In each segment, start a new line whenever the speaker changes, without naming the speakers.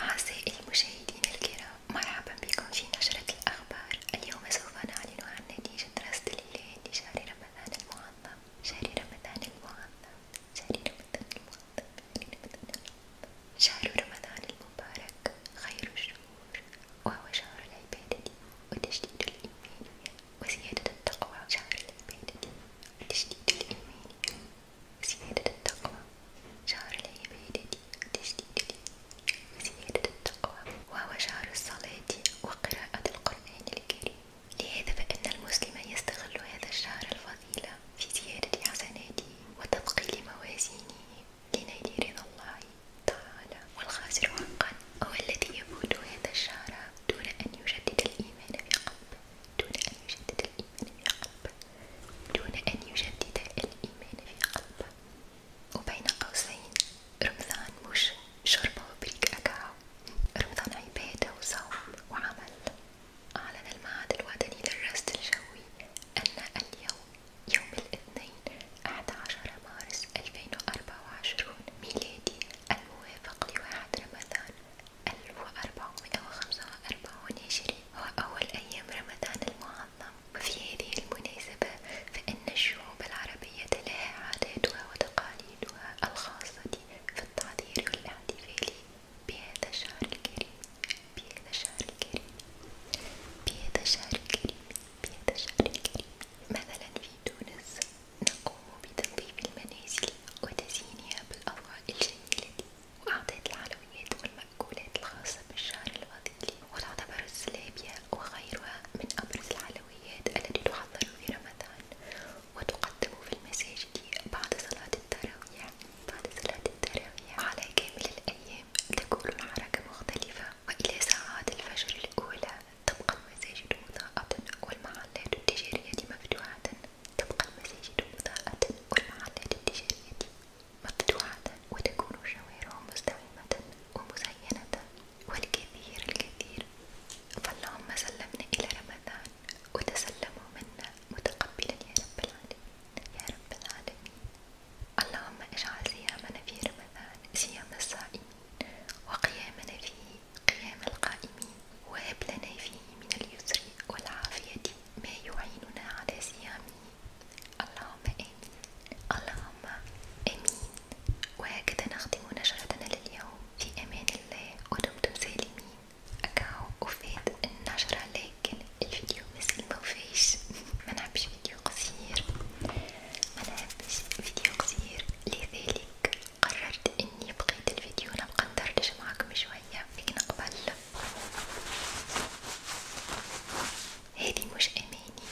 أعزائي المشاهدين الكرام مرحبا بكم في نشرة الأخبار اليوم سوف نعلن عن نتيجة دراسة الإله لشهر رمضان المعظم شهر رمضان المعظم شهر رمضان المعظم شهر رمضان المبارك خير الشهور وهو شهر العبادة وتجديد الإيمان وزيادة التقوى جعل العبادة تشديد الإيمان وزيادة التقوى جعل العبادة تشديد الإيمان وزيادة التقوى وهو شعر الصلاة وقراءة القرآن الكريم لهذا فإن المسلم يستغل هذا الشهر الفضيل في زيادة حسناته وتثقيل موازينه لنيل رضا الله تعالى والخاسر حقا هو الذي يفوت هذا الشهر دون أن يجدد الإيمان في قلبه دون أن يجدد الإيمان في قلبه دون أن يجدد الإيمان في قلبه وبين قوسين رمضان مش شربة وبريك أكاو رمضان عبادة وصوم وعمل أعلن المعهد الوطني للرصد الجوي أن اليوم يوم الاثنين 11 مارس 2024 ميلادي الموافق لواحد رمضان ألف وأربعمائة وخمسة وأربعون هجري وأول أيام رمضان المعظم وفي هذه المناسبة فإن الشعوب العربية لها عاداتها وتقاليدها الخاصة في التحضير والاحتفال بهذا الشهر الكريم بهذا الشهر الكريم بهذا الشهر الكريم بهذا الشهر الكريم مثلا في تونس نقوم بتنظيف المنازل وتزيينها بالأضواء الجميلة وأعطيت الحلويات والمأكولات الخاصة بالشهر الفضيلي وتعتبر الزلابية وغيرها من أبرز الحلويات التي تحضر في رمضان وتقدم في المساجد بعد صلاة التراويح بعد صلاة التراويح على كامل الأيام تكون الحركة مختلفة وإلى ساعات الفجر الأولى تبقى المساجد مضاءة والمحلات التجارية مفتوحة تبقى المساجد مضاءة والمحلات التجارية مفتوحة وتكون شوارع مزدحمة ومزينة والكثير الكثير فاللهم سلمنا إلى رمضان وتسلموا منا متقبلا يا رب العالمين يا رب العالمين اللهم اجعل صيامنا في رمضان صيام الصائم وقيامنا فيه قيام القائمين وهب لنا فيه من اليسر والعافية ما يعيننا على صيامه اللهم آمين اللهم آمين وهكذا نختم نشرتنا لليوم في أمان الله ودمتم سالمين أكاو وفات النشرة لكن الفيديو مثل ما فيش منحبش فيديو قصير منحبش فيديو قصير لذلك قررت اني بقيت الفيديو انا بقدردش معاكم شوية لكن قبل هذي مش اماني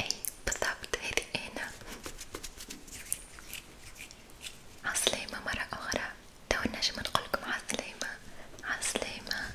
اي بالضبط هذي انا عسلامة مرة اخرى تو نجم نقولكم عسلامة عسلامة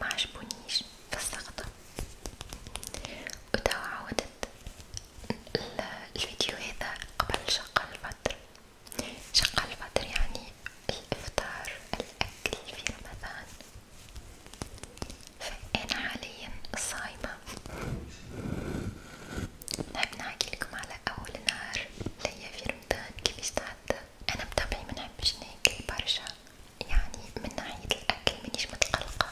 ما عجبونيش فسختها وتوا عودت الفيديو هذا قبل شقة الفطر شقة الفطر يعني الإفطار الأكل في رمضان فأنا حاليا صايمة نحب نحكيلكم على أول نهار ليا في رمضان كيفاش تعدى أنا بطبعي منحبش ناكل برشا يعني من ناحية الأكل مانيش متقلقة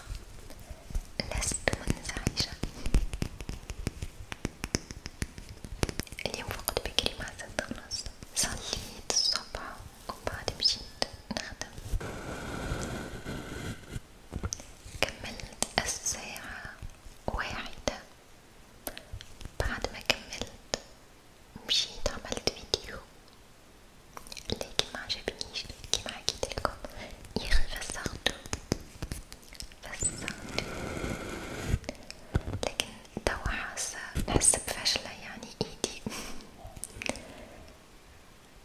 لست منزعجة اليوم فقط بكري مع ستة ونص صليت الصبح وبعد مشيت نخدم كملت الساعة واحدة بعد ما كملت ومشيت عملت فيديو لكن ما عجبنيش كيما حكيت لكم يا اخي فسختو فسختو لكن توا حاسه نحس بفشله يعني ايدي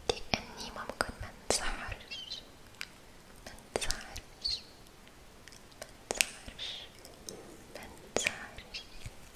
لاني ممكن ما نسهرش ما نسهرش ما نسهرش ما نسهرش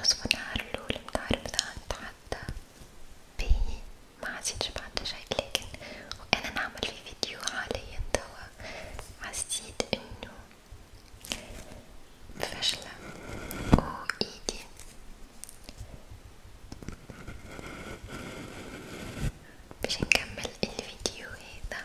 نصف النهار الأول متاع رمضان تعدى بي ما عزيتش بعد شي لكن وأنا نعمل في فيديو حاليا توا حسيت إنه فشلة و إيدي باش نكمل الفيديو هذا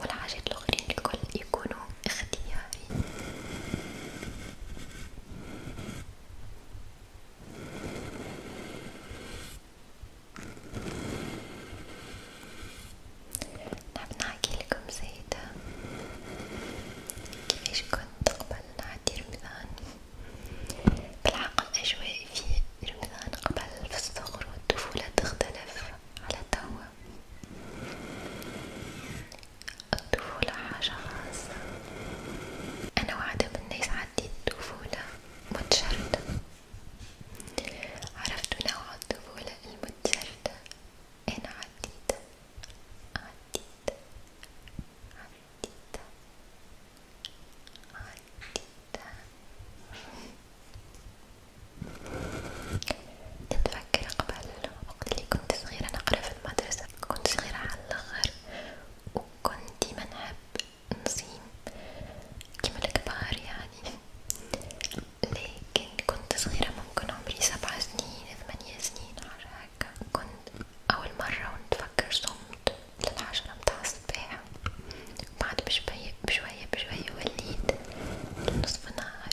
والحاجات الأخرين الكل يكونوا اختياري نحب نعم، نحكي لكم زيادة كيفاش كنت قبل نعدي رمضان بالحق الأجواء في رمضان قبل في الصغر والطفولة تختلف على توا الطفولة حاجة خاصة أنا واحدة من الناس عديت طفولة متشردة عرفت نوع الطفولة المتشردة أنا عديت عديت عديت عديت نتفكر قبل وقت اللي كنت صغيرة نقرا في المدرسة كنت صغيرة على الآخر وكنت ديما نحب نصيم كيما الكبار يعني لكن كنت صغيرة ممكن عمري سبع سنين ثمانية سنين حاجة هكا كنت أول مرة ونتفكر صمت للعشرة متاع الصباح بعد بشوية بشوية بشوية وليت نصف نهار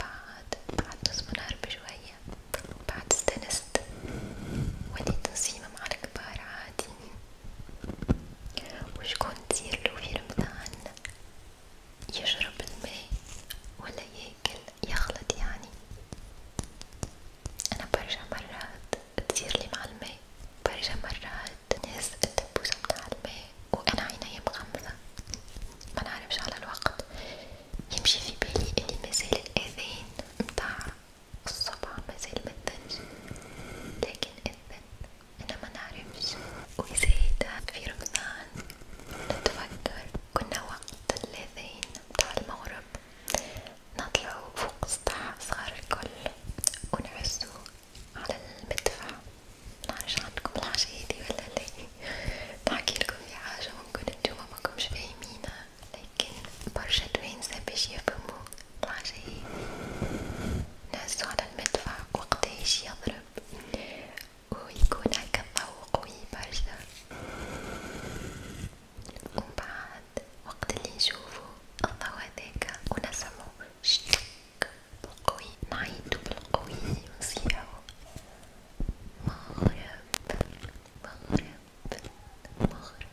بعد بعد نصف نهار بشوية بعد استنست وليت نصيمة مع الكبار عادي وشكون تصيرلو في رمضان يشرب الماء ولا ياكل يخلط يعني أنا برشا مرات تصيرلي مع الماء برشا مرات تنهز الدبوسة من على الماء وأنا عيني مغمضة منعرفش على الوقت يمشي في بالي اللي مازال الأذان متاع الصبح مازال متدنش لكن أذن أنا منعرفش وزايدة في رمضان نتفكر كنا وقت الأذان متاع المغرب نطلعو فوق السطح صغار الكل ونعزو على المدفع منعرفش عندكم الحاجة هادي ولا لا نحكيلكم في حاجة ممكن نتوما مكمش فاهمينها لكن برشا توانسة باش يفهمو الحاجة هادي نهزو على المدفع وقتاش يضرب ويكون هكا الضو قوي برشا ومن بعد وقت اللي نشوفو الضو هذاكا ونسمعو شلك بالقوي نعيدو بالقوي ونصيحو مغرب مغرب مغرب مغرب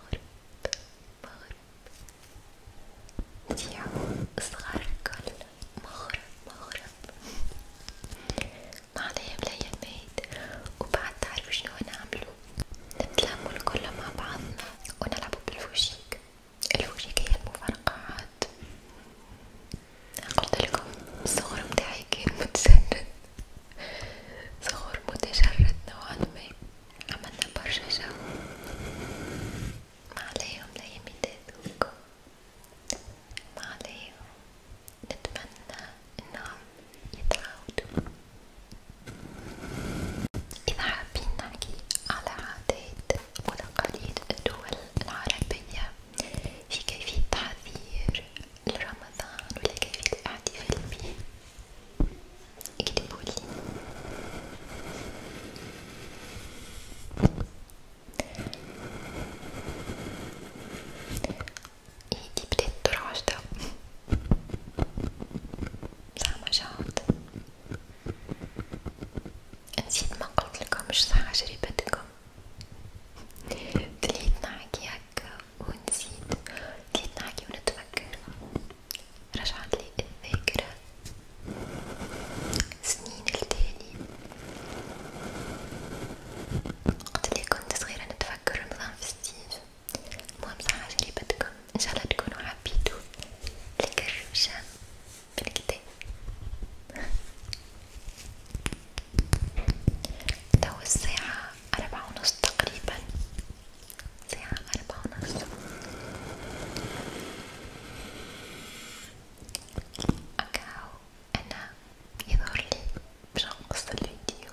مغرب نصيحو صغار الكل مغرب مغرب ما عليهم ليا الميت وبعد تعرفو شنو نعملو نتلاموا الكل مع بعضنا ونلعبوا بالفوشيك الفوشيك هي المفرقعات قلت لكم الصغر متاعي كان متسرد صغر متجرد نوعا ما عملنا برشا جو ما عليهم الأيام يدادوكم ما عليهم نتمنى انهم يتعاودوا إذا حابين نحكي على عادات وتقاليد الدول العربية في كيفية تحضير لرمضان ولا كيفية الاحتفال به اكتبولي هيدي إيه بداية الدور عشرة زعما نسيت ما قلتلكمش صح تجربتكم تليت نحكي هكا ونسيت تليت نحكي ونتفكر رجعت لي الذاكرة سنين التالي قلت لي كنت صغيرة نتفكر رمضان فيستيف المهم صراحة جربتكم ان شاء الله تكونوا حبيتوا الكرشة بالكتاب تو الساعة أربعة ونص تقريبا الساعة أربعة ونص أكاو أنا يظهر لي باش نقص الفيديو